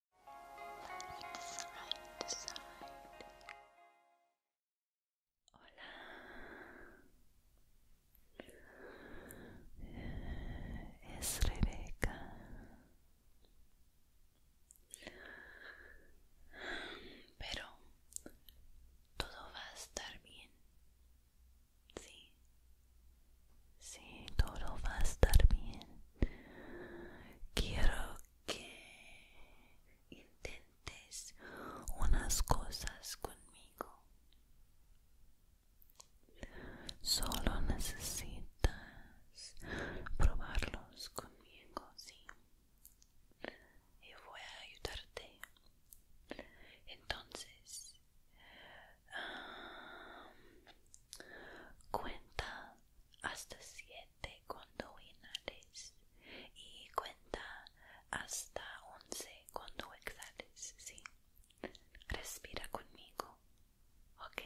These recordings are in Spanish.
Hola. Es Rebeca. Pero todo va a estar bien. Sí. Sí, todo va a estar bien. Quiero que intentes unas cosas conmigo. Solo necesitas probarlos conmigo, sí. Y voy a ayudarte. Entonces, ah, cuenta hasta siete cuando inhales y cuenta hasta once cuando exhales, ¿sí? Respira conmigo, ¿ok?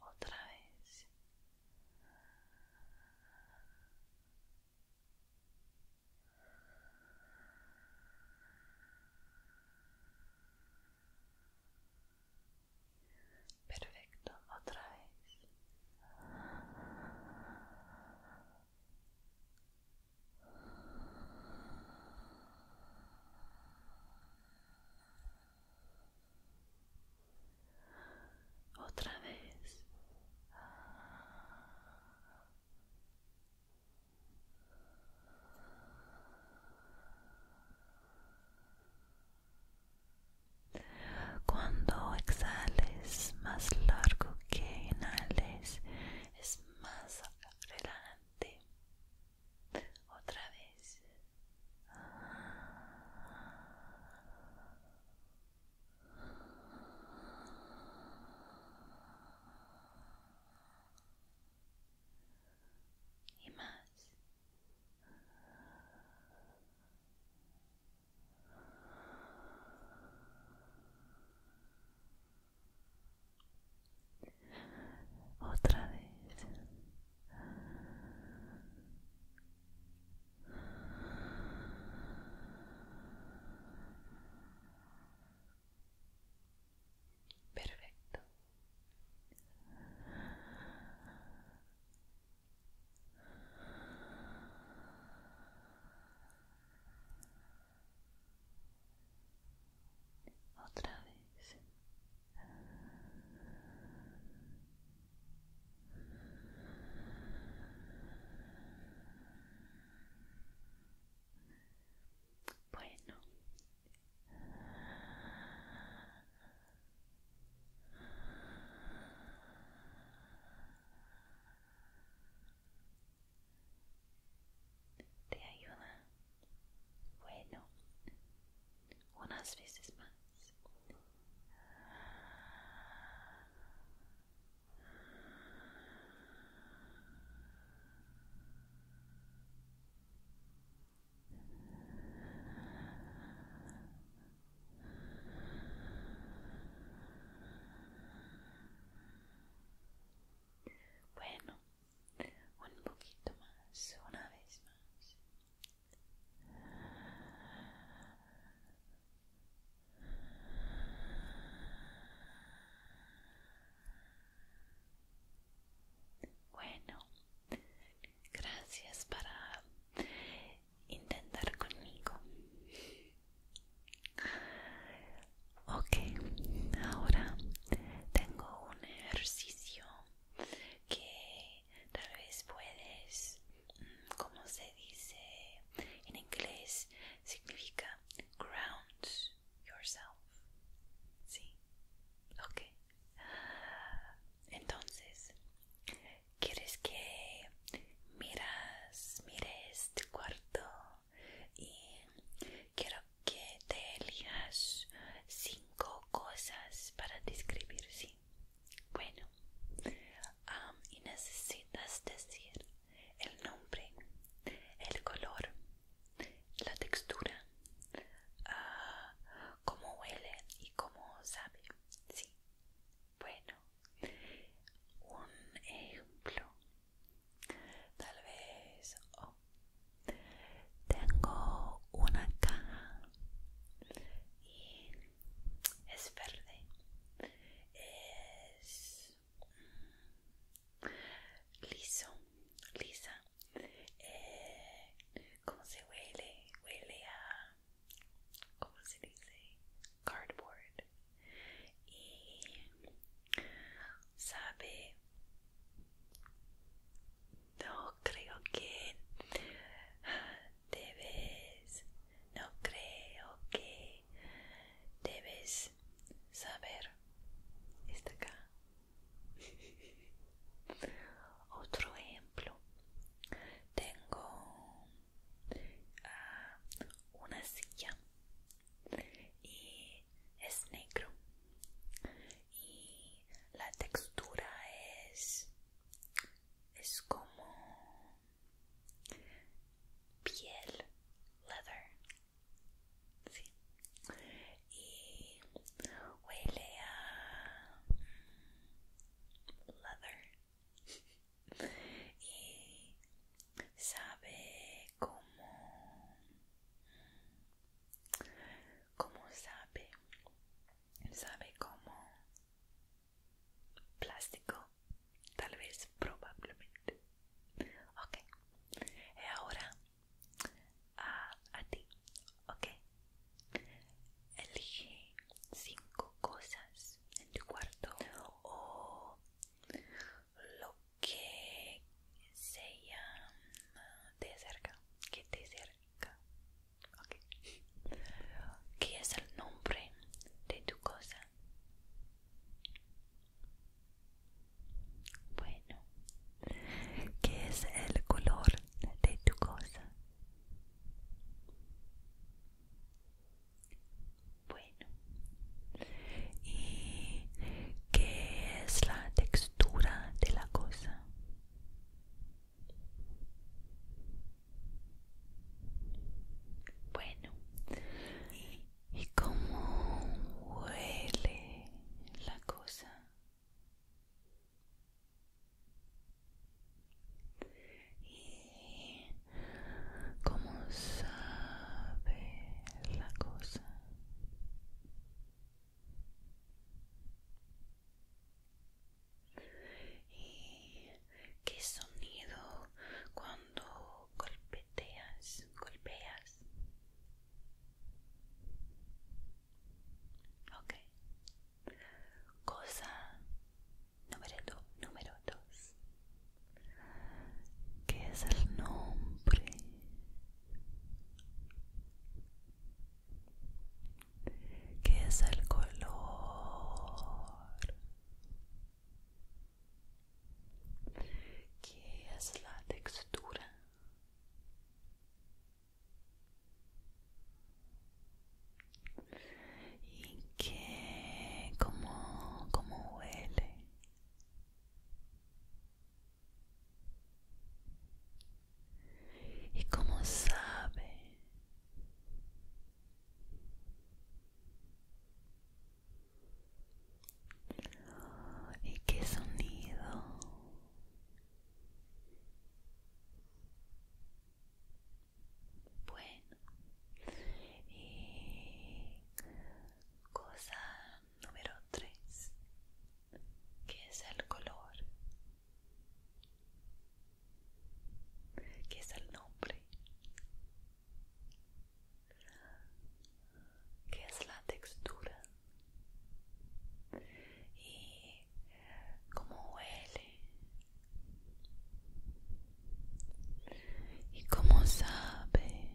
otra vez perfecto otra vez otra vez cuando exhales más largo que inhales es más adelante otra vez y más otra vez perfecto otra vez bueno te ayuda bueno, unas veces más. Bueno, un poquito más, una vez más. Bueno, gracias para intentar conmigo. Ok, ahora tengo un ejercicio que tal vez puedes, mm, como se dice en inglés, significa ground yourself. Sí, ok. Entonces, ¿quieres que miras, mires tu cuarto? Y quiero que te elijas cinco cosas para describir, ¿sí? Bueno, y necesitas decir el nombre, el color, la textura, ah, cómo huele y cómo sabe, ¿sí? Bueno, un ejemplo, tal vez... Tengo una caja y es verde, es mm, liso, lisa. Eh, ¿Cómo se huele? Huele a, ¿cómo se dice? Cardboard. Y sabe no creo que debes, no creo que debes saber. Está acá. Otro ejemplo. Tengo ah, una silla y es negro y la textura es es como piel leather sí. y huele a mm, leather y sabe como ¿Cómo sabe? Sabe cómo plástico, tal vez, probablemente. Ok. Y eh, ahora a, ti. Ok. Elige cinco cosas en tu cuarto o lo que sea de cerca, que te cerca ¿Qué es el nombre de tu cosa? Bueno, ¿qué es el color de tu cosa? Bueno, ¿y qué es la textura de la cosa? Bueno, ¿y cómo huele la cosa? ¿Y cómo sabe la cosa? y qué sonido cuando golpeteas golpeas Okay. cosa número, número dos ¿Qué es el nombre ¿Qué es el color, ¿Qué es la textura. Y qué... cómo como huele y cómo sabe y qué sonido bueno y cosa número tres. ¿Qué es el color ¿Qué es el nombre, ¿Qué es la textura y cómo huele y cómo sabe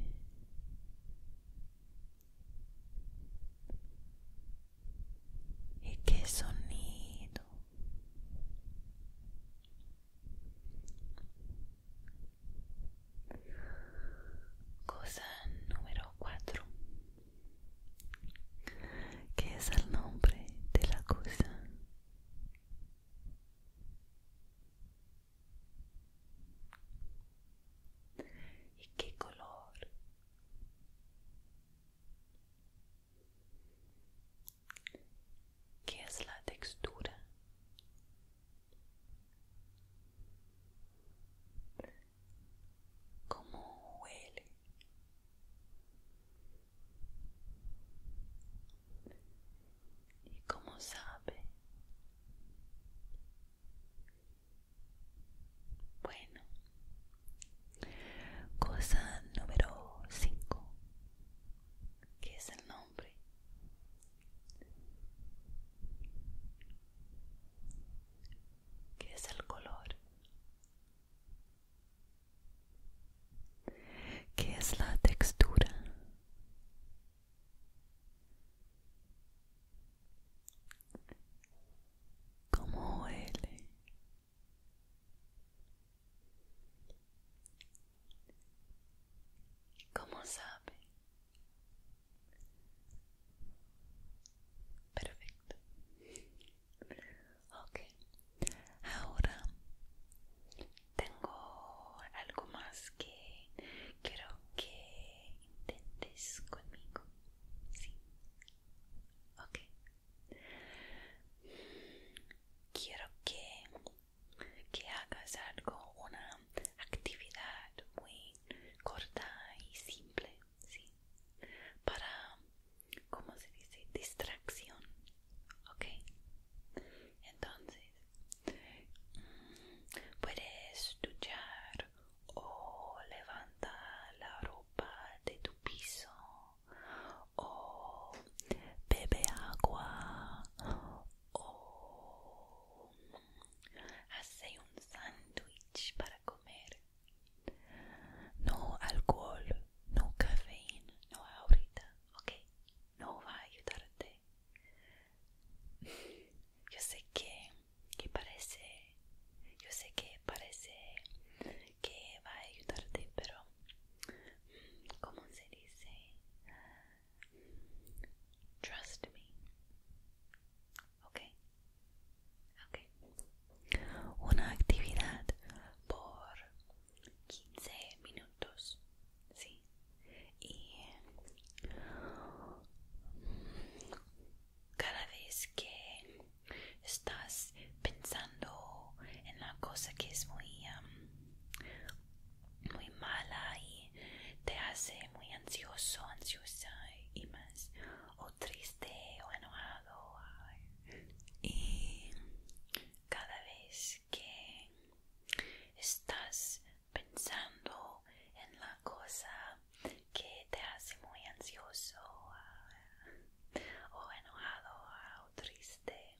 y qué sonido cosa número cuatro. que es el nombre de la cosa y qué color ¿Qué es la textura? ¿Cómo huele? ¿Y cómo sabe? Bueno, cosa número cinco. ¿Qué es el nombre. ¿Qué es el color? ¿Qué es la textura? cómo huele. ¿Cómo sabe? Perfecto. Okay, Ahora tengo algo más que quiero que intentes conmigo. Sí. Ok. Quiero que, que hagas algo, una actividad muy corta y simple, ¿sí? Para, ¿cómo se dice? Distracción, ¿ok? Entonces, mm, puedes duchar o oh, levanta la ropa de tu piso o oh, bebe agua o oh, hace un sándwich para comer. No alcohol, no cafeína, no ahorita, ok, no va a ayudarte. Yo sé que que parece, yo sé que parece que va a ayudarte, pero mm, ¿cómo se dice? Trust me. Ok. Ok. Una actividad por 15 minutos. Sí. Y cada vez que estás pensando en la cosa que es muy, muy mala y te hace muy ansioso, ansiosa y más, o triste o enojado. Y cada vez que estás pensando en la cosa que te hace muy ansioso ah, o enojado ah, o triste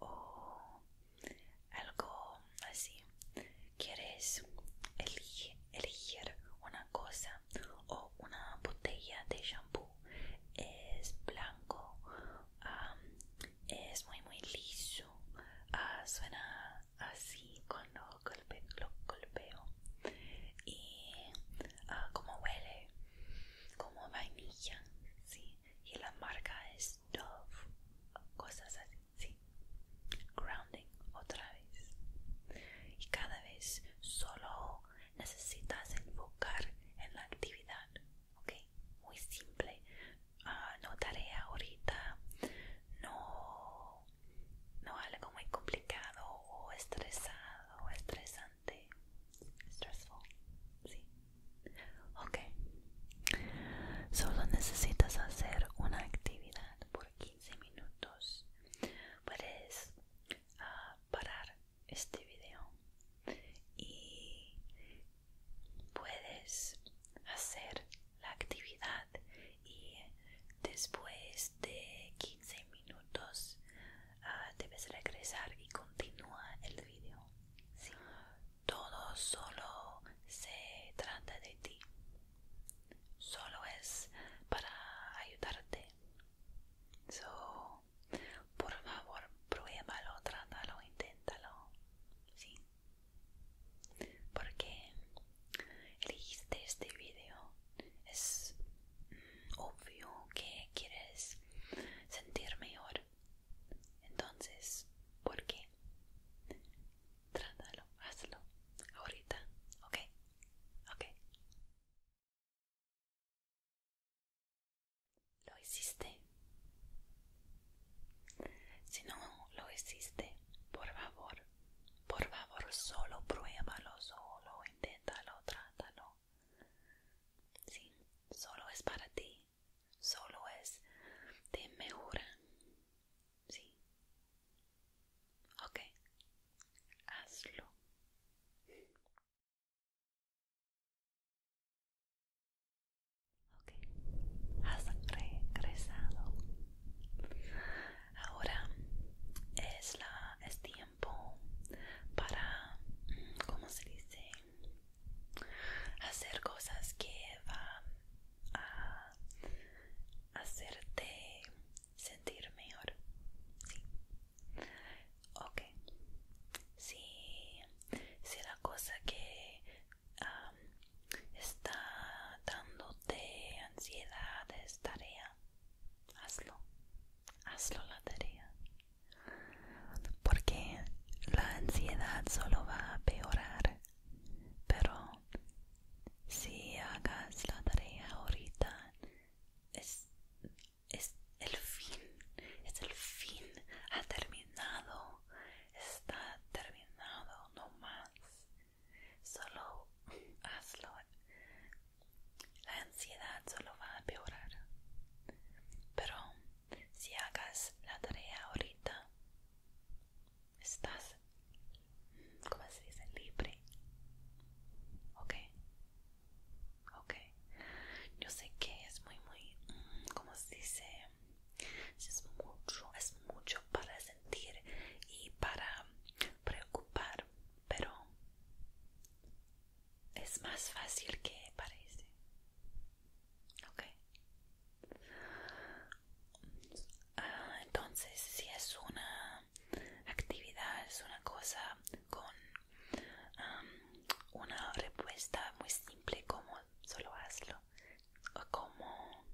o algo así. Quieres elegir una cosa o una botella de shampoo. Es blanco, ah, es muy muy liso, suena así cuando lo golpeo y ah, como huele como vainilla sí y la marca es Dove cosas así grounding otra vez y cada vez solo necesitas enfocar en la actividad ok muy simple ah, no tarea ahorita no no algo muy complicado o estresado o estresante. Stressful, sí. Ok. Solo necesitas hacer una actividad por 15 minutos. Puedes ah, parar este video y puedes hacer la actividad y después de 15 15 minutos ah, debes regresar y continúa el video. Todo solo se trata de ti. Solo es para ayudarte. por favor, pruébalo, trátalo, inténtalo. Porque elegiste este video es obvio que quieres sentir mejor. Entonces, ¿por qué? Trátalo, hazlo ahorita, ¿ok? ¿Ok? ¿Lo hiciste? Si no lo hiciste, por favor, por favor, solo pruébalo, solo inténtalo, trátalo. Sí, solo es para ti, solo es de mejora. Sí. Ok, hazlo. Ok, has regresado. Ahora es la es tiempo para, mm, ¿cómo se dice? Hacer cosas que van a hacerte sentir mejor. Sí. Ok. Si, la cosa que está dándote ansiedad es tarea hazlo, hazlo la tarea, porque la ansiedad solo va a peorar, pero si hagas la tarea ahorita, es, es el fin, es el fin, ha terminado, está terminado, no más, solo hazlo la ansiedad solo va a peorar. Pero si hagas la tarea ahorita, estás, ¿cómo se dice? Libre. Ok. okay. Yo sé que es muy, muy, mm, como se dice? Es mucho, es mucho para sentir y para preocupar pero es más fácil que parece. Ah, entonces, si es una actividad, es una cosa con una respuesta muy simple como solo hazlo, o como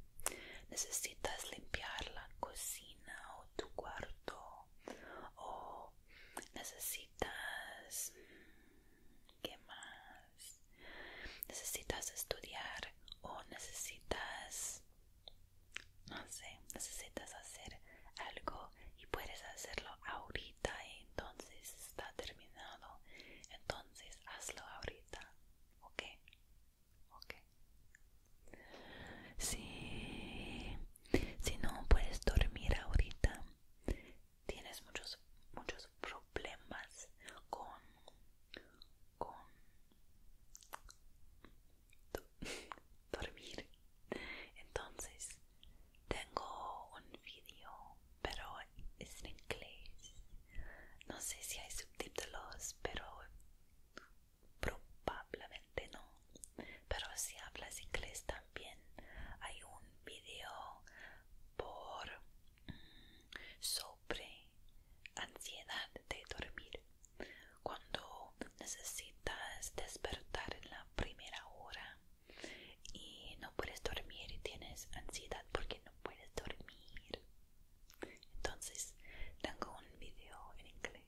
necesitas limpiar la cocina o tu cuarto o necesitas mm, qué más necesitas estudiar o necesitas no sé necesitas hacer algo y puedes hacerlo ahorita y entonces está terminado entonces hazlo ahorita ok ok si, si no puedes dormir ahorita, tienes muchos, muchos problemas con, con dormir. Entonces, tengo un vídeo, pero es en inglés. No sé si hay subtítulos, pero probablemente no pero si hablas inglés también hay un video por mm, sobre ansiedad de dormir cuando necesitas despertar en la primera hora y no puedes dormir y tienes ansiedad porque no puedes dormir entonces tengo un video en inglés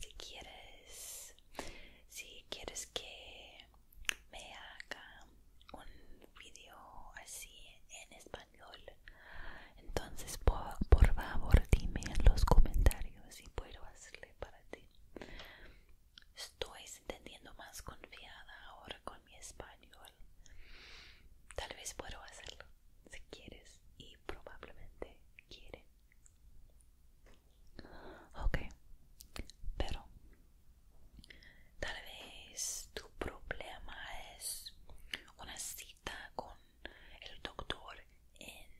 si quieres si quieres que me haga un video así en español entonces por, favor dime en los comentarios si puedo hacerle para ti estoy sintiendo más confiada ahora con mi español tal vez puedo hacerlo si quieres y probablemente quiere, Ok, pero tal vez tu problema es una cita con el doctor en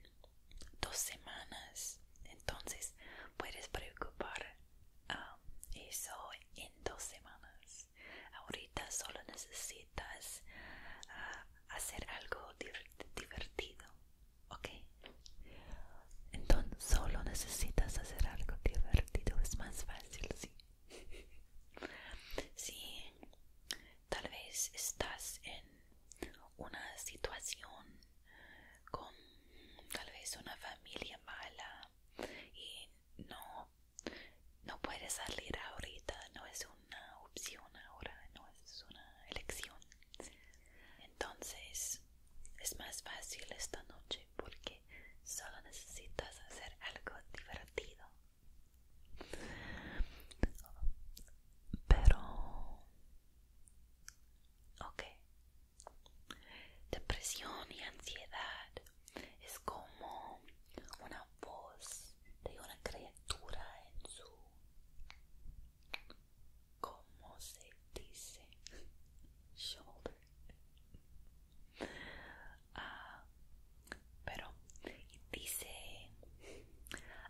dos semanas. Entonces puedes preocupar eso en dos semanas. Ahorita solo necesitas ah, hacer algo divertido, ¿ok? Entonces solo necesitas hacer algo divertido, es más fácil, ¿sí? Si tal vez estás en una situación con tal vez una familia mala y no, no puedes salir ahorita, no es un una opción ahora, no es una elección. Entonces es más fácil esta noche porque solo necesitas hacer algo divertido. Pero... Ok. Depresión y ansiedad es como una voz de una criatura en su... ¿Cómo se dice? Shoulder. Ah, pero dice,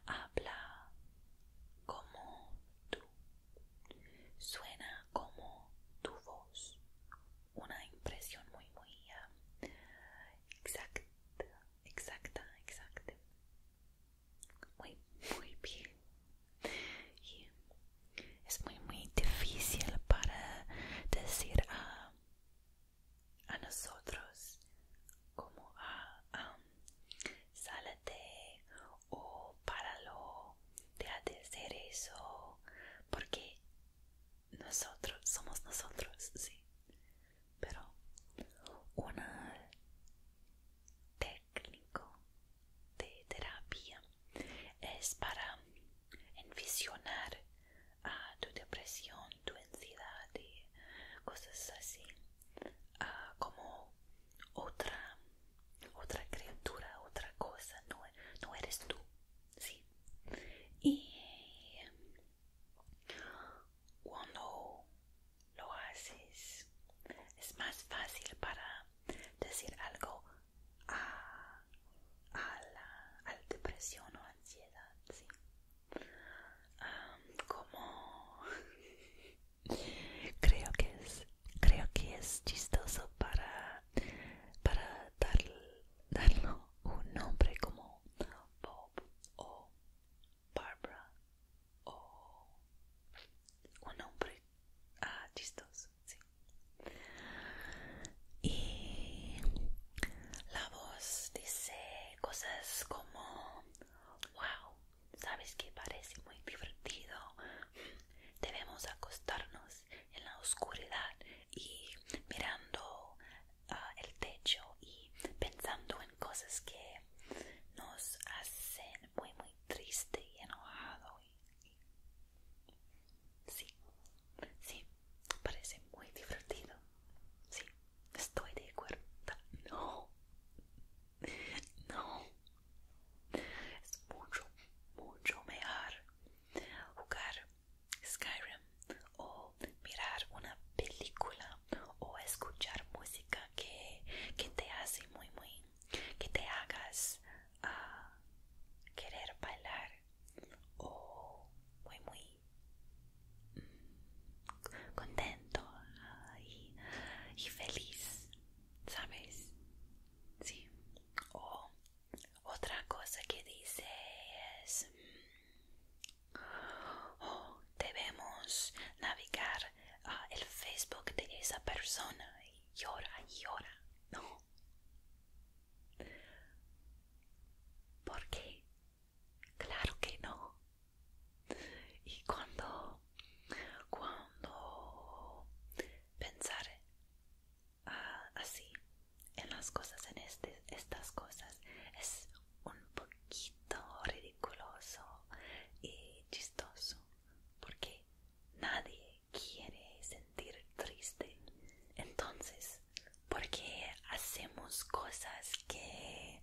habla como tú, suena como tu voz. Una impresión muy, muy ah, exacta exacta, exacta. Muy, muy bien. Y es muy, muy difícil para decir a, nosotros como a sálate o para lo de hacer eso, porque nosotros somos nosotros, sí pero una técnico de terapia es para envisionar a ah, tu depresión, tu ansiedad cosas así ah, como otra otra criatura, otra cosa, no, no eres tú, sí. Y cuando lo haces, es más fácil para decir algo a, la, depresión o ansiedad, ¿sí? como creo que es creo que es chistoso para para dar, un nombre como Bob o Barbara o un hombre ah, chistoso, sí. Y la voz dice cosas como, wow, sabes que parece muy divertido, debemos acostarnos en la oscuridad y mirando Ah, el techo y pensando en cosas que nos hacen muy muy triste y enojado y, sí sí parece muy divertido sí estoy de acuerdo no no es mucho mucho mejor jugar Skyrim o mirar una película o escuchar música que, te hace muy muy que te hagas a ah, querer bailar o muy muy mm, contento y, y feliz sabes sí o otra cosa que dice es Oh, debemos navegar a ah, el Facebook de esa persona y llora y llora, no. ¿Por qué? Claro que no. Y cuando, cuando pensar ah, así en las cosas, en este, estas cosas, es un, ridiculoso y chistoso porque nadie quiere sentir triste entonces porque hacemos cosas que,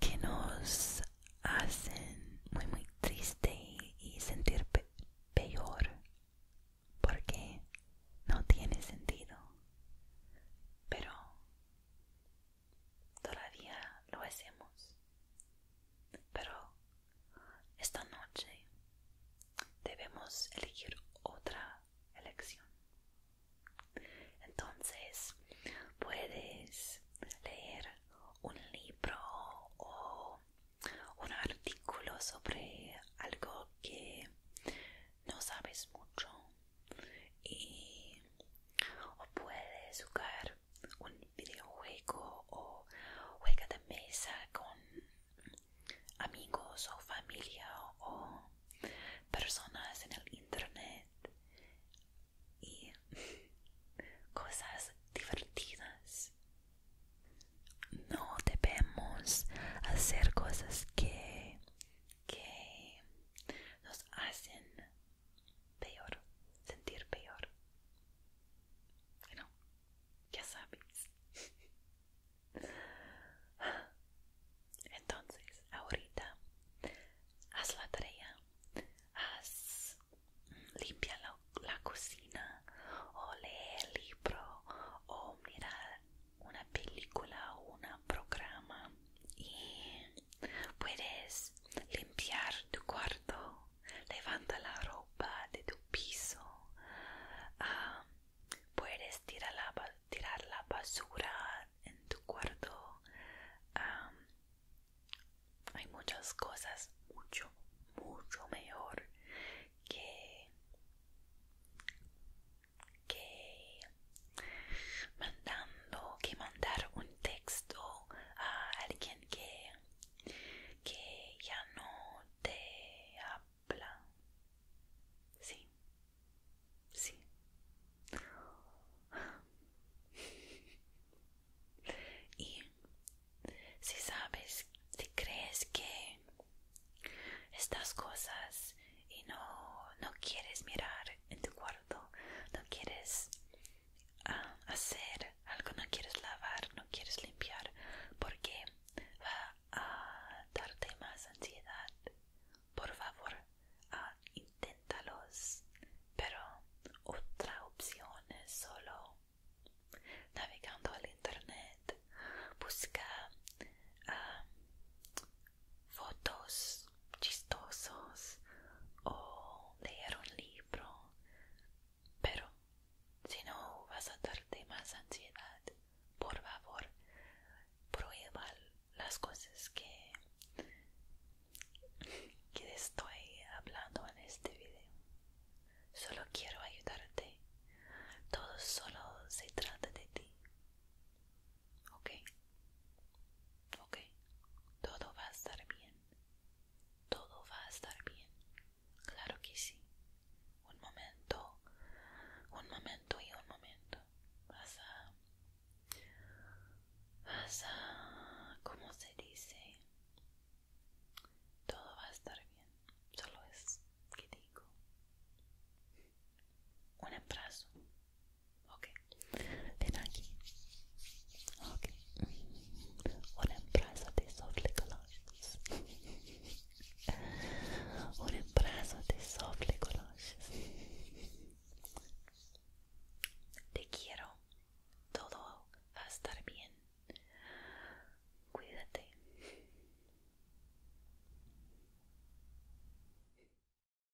que nos hacen muy muy triste y, sentir peor porque no tiene sentido pero todavía lo hacemos. Pero esta noche debemos elegir otra elección. Entonces, puedes leer un libro o un artículo sobre algo que no sabes mucho y o puedes jugar un videojuego o juega de mesa con amigos o familia o personas en el internet y cosas divertidas no debemos hacer cosas que que nos hacen peor, sentir peor. ¿no? ya sabes. Entonces, ahorita haz la tarea, haz limpia la, cocina, o lee el libro, o mira una película o un programa y Puedes limpiar tu cuarto, levanta la ropa de tu piso, ah, puedes tirar la, basura en tu cuarto. Ah, hay muchas cosas mucho, mucho mejor que que mandando que mandar un texto a alguien que que ya no te habla sí sí y si sabes si crees que estas cosas y no, no quieres mirar en tu cuarto no quieres ah, hacer algo, no quieres lavar, no quieres limpiar, porque va a darte más ansiedad. Por favor, ah, inténtalos, pero otra opción es solo navegando al internet, busca ah, fotos chistosos o leer un libro pero si no vas a darte más ansiedad por favor prueba las cosas que que estoy hablando en este video solo quiero ayudarte todo solo se trata de ti Ok, ok, todo va a estar bien. Todo va a estar bien. Claro que sí. Un momento, un momento y un momento. Vas a... Vas a... ¿Cómo se dice? Todo va a estar bien. Solo es que digo. Un abrazo. Ok, ven aquí. un abrazo de soft colossus. un abrazo de soft Te quiero. Todo va estar bien. Cuídate.